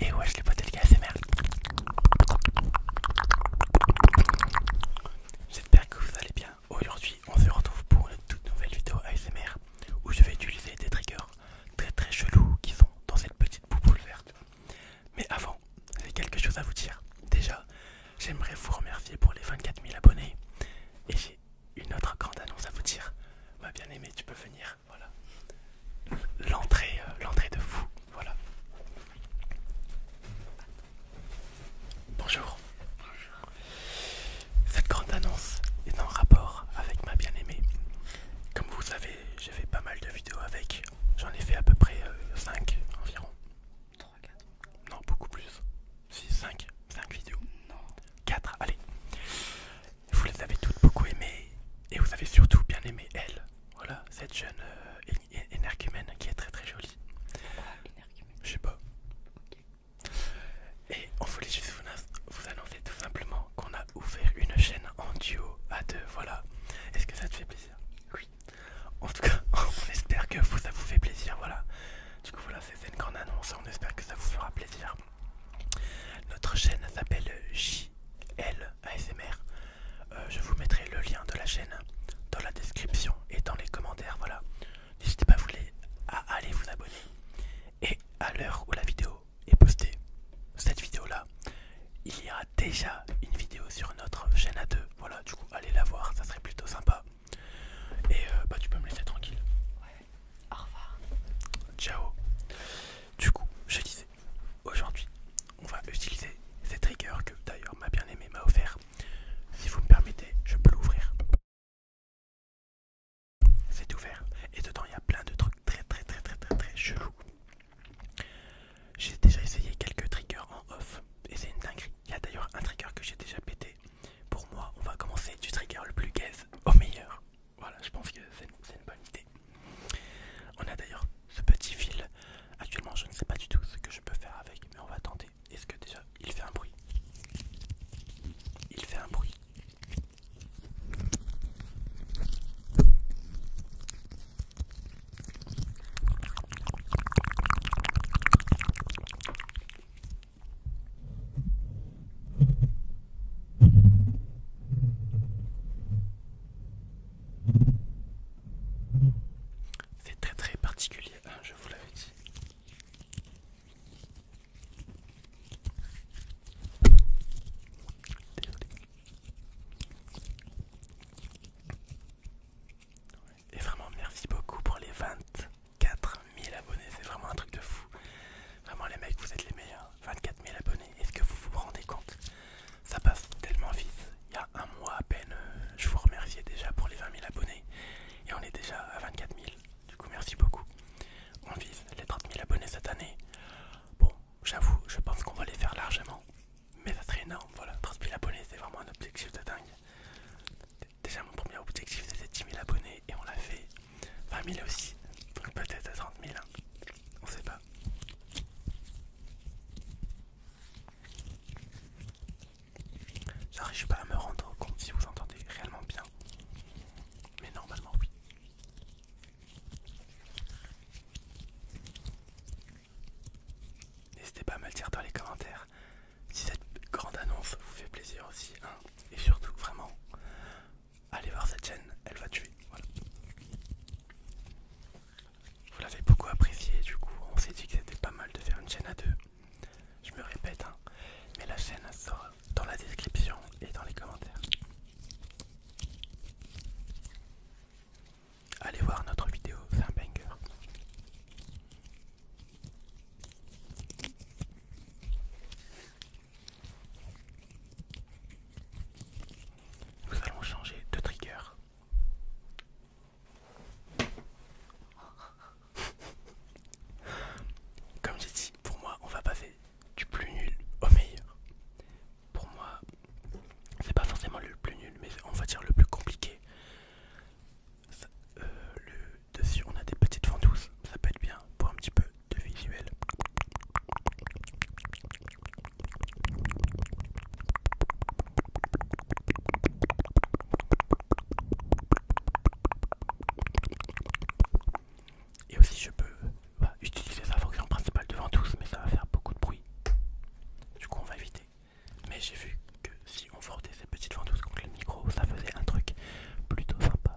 Et ouais, je l'ai pas les à merde. J'espère que vous allez bien. Aujourd'hui, on se retrouve pour une toute nouvelle vidéo ASMR où je vais utiliser des triggers très très chelous qui sont dans cette petite bouboule verte. Mais avant, j'ai quelque chose à vous dire. Déjà, j'aimerais vous remercier pour les 24 000 abonnés et j'ai une autre grande annonce à vous dire. Ma bien-aimée, tu peux venir. Voilà. L'entrée euh, l'entrée de vous Voilà. Bonjour. Cette grande annonce est en rapport avec ma bien-aimée. Comme vous savez, j'ai fait pas mal de vidéos avec. J'en ai fait à peu près 5 euh, environ. 3, 4 Non, beaucoup plus. 6, 5. 5 vidéos. 4, allez. Vous les avez toutes beaucoup aimées et vous avez surtout bien aimé elle. Voilà, cette jeune euh, Enercumen qui est très très jolie. Ah, Je sais pas. Et on voulait juste vous, annoncer tout simplement qu'on a ouvert une chaîne en duo à deux. Voilà. Est-ce que ça te fait plaisir Oui. En tout cas, on espère que ça vous fait plaisir. Voilà. Du coup, voilà, c'est une grande annonce. On espère que ça vous fera plaisir. Notre chaîne s'appelle JLASMR euh, je vous mettrai le lien de la chaîne dans la description et dans les commentaires. Voilà, n'hésitez pas à aller vous abonner. Et à l'heure où la vidéo est postée, cette vidéo là, il y aura déjà une vidéo sur notre chaîne à deux. Voilà, du coup, allez la voir, ça serait plutôt sympa. Et euh, bah, tu peux me laisser tranquille au revoir. Ciao. Du coup, je disais, aujourd'hui, on va utiliser ces triggers que d'ailleurs ma bien-aimée m'a offert. Si vous me permettez, je peux l'ouvrir. C'est ouvert et dedans il y a plein de trucs très très très très très très chelou. J'ai déjà essayé quelques triggers en off et c'est une dinguerie. Il y a d'ailleurs un trigger que j'ai déjà pété. Pour moi, on va commencer du trigger le plus gaze au meilleur. Voilà, je pense que c'est une, bonne idée. On a d'ailleurs ce petit fil. Actuellement, je ne sais pas du tout ce que je peux faire avec, mais on va tenter. Est-ce que déjà il fait un bruit Il fait un bruit. C'est très très particulier, hein, je vous l'avais dit. Et vraiment merci beaucoup pour les 24 000 abonnés, c'est vraiment un truc de fou. Vraiment les mecs, vous êtes les meilleurs. 24 000 abonnés. Est-ce que vous vous rendez compte Ça passe tellement vite. Il y a un mois à peine, euh, je vous remerciais déjà pour les 20 000 abonnés. Et on est déjà à 24 000. Du coup, merci beaucoup. On vise les 30 000 abonnés cette année. Bon, j'avoue, je pense qu'on va les faire largement. Mais ça serait énorme. Voilà, 30 000 abonnés, c'est vraiment un objectif de dingue. Déjà, mon premier objectif, c'était 10 000 abonnés et on l'a fait. 20 000 aussi, peut-être à 30 000, hein. on sait pas. J'arrive pas à me rendre compte si vous entendez réellement bien, mais normalement oui. N'hésitez pas à me le dire dans les commentaires si cette grande annonce vous fait plaisir aussi. Hein. Et surtout, vraiment, allez voir cette chaîne, elle va tuer. Vous l'avez beaucoup apprécié, du coup, on s'est dit que c'était pas mal de faire une chaîne à deux. Je me répète, hein, mais la chaîne sera dans la description et dans les commentaires. Allez voir notre vidéo, c'est un banger. Nous allons changer de trigger. Comme j'ai dit, pour moi, on va passer du plus nul au meilleur. Pour moi, c'est pas forcément le plus nul, mais on va dire le plus compliqué. Euh, le dessus, on a des petites ventouses ça peut être bien pour un petit peu de visuel. Et aussi je peux bah, utiliser sa fonction principale de ventouse mais ça va faire beaucoup de bruit. Du coup on va éviter. Mais j'ai vu que si on fordait ces petites ventouses contre le micro ça faisait un truc plutôt sympa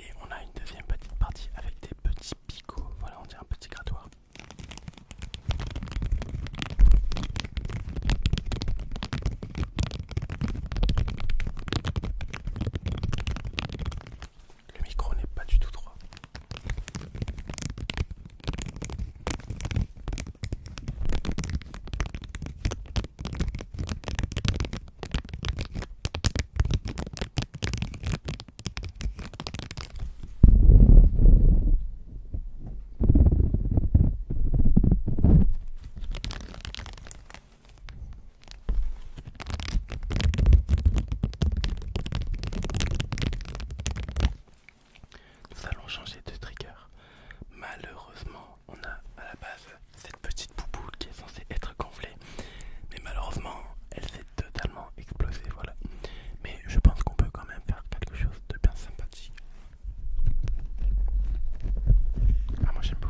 Et on a une deuxième petite partie avec des petits picots. Voilà, on dirait un petit grattoir. Le micro n'est pas du tout droit. Nous allons changer de trigger. Malheureusement, on a à la base cette petite bouboule qui est censée être gonflée, mais malheureusement, elle s'est totalement explosée. Voilà, mais je pense qu'on peut quand même faire quelque chose de bien sympathique. Ah, moi j'aime beaucoup.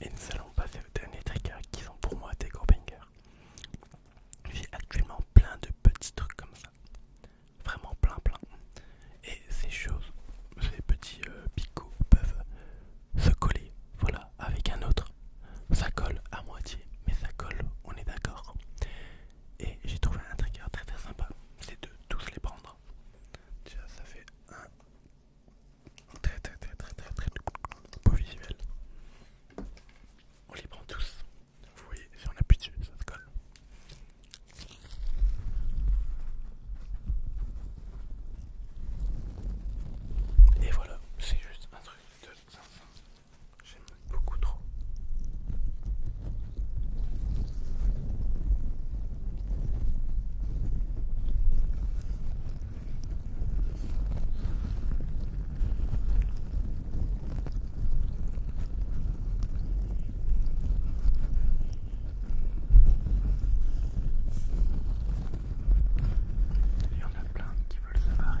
Et nous allons passer au dernier tracker qui sont pour moi des gros bangers. J'ai actuellement plein de petits trucs comme ça. Vraiment plein plein. Et ces choses, ces petits euh, picots peuvent se coller, voilà, avec un autre. Ça colle à moitié, mais ça colle, on est d'accord. Et j'ai trouvé un trigger très très sympa, c'est de tous les prendre. Déjà ça fait un très très très très très beau visuel. On les prend tous. Vous voyez, si on appuie dessus, ça se colle. Et voilà, c'est juste un truc de J'aime beaucoup trop. Il y en a plein qui veulent se barrer.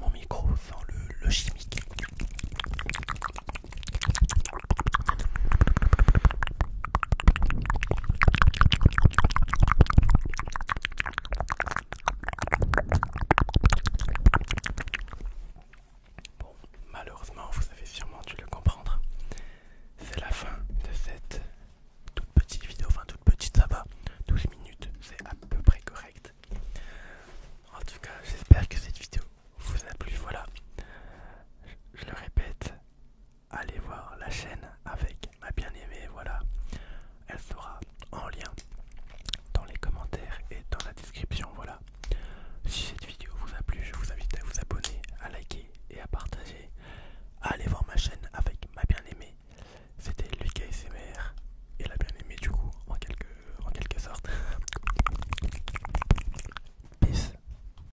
Mon micro sent le chimique. Bon, malheureusement, vous avez sûrement dû le comprendre. C'est la fin de cette toute petite vidéo, enfin toute petite, ça va, 12 minutes, c'est à peu près correct. En tout cas, j'espère que cette vidéo vous a plu. Voilà, je le répète, allez voir la chaîne avec ma bien-aimée, voilà, elle sera en lien dans les commentaires et dans la description, voilà. Si cette vidéo vous a plu, je vous invite à vous abonner, à liker et à partager. Allez voir ma chaîne avec ma bien-aimée. C'était Lucas et la bien-aimée du coup, en quelque, en quelque sorte. Peace.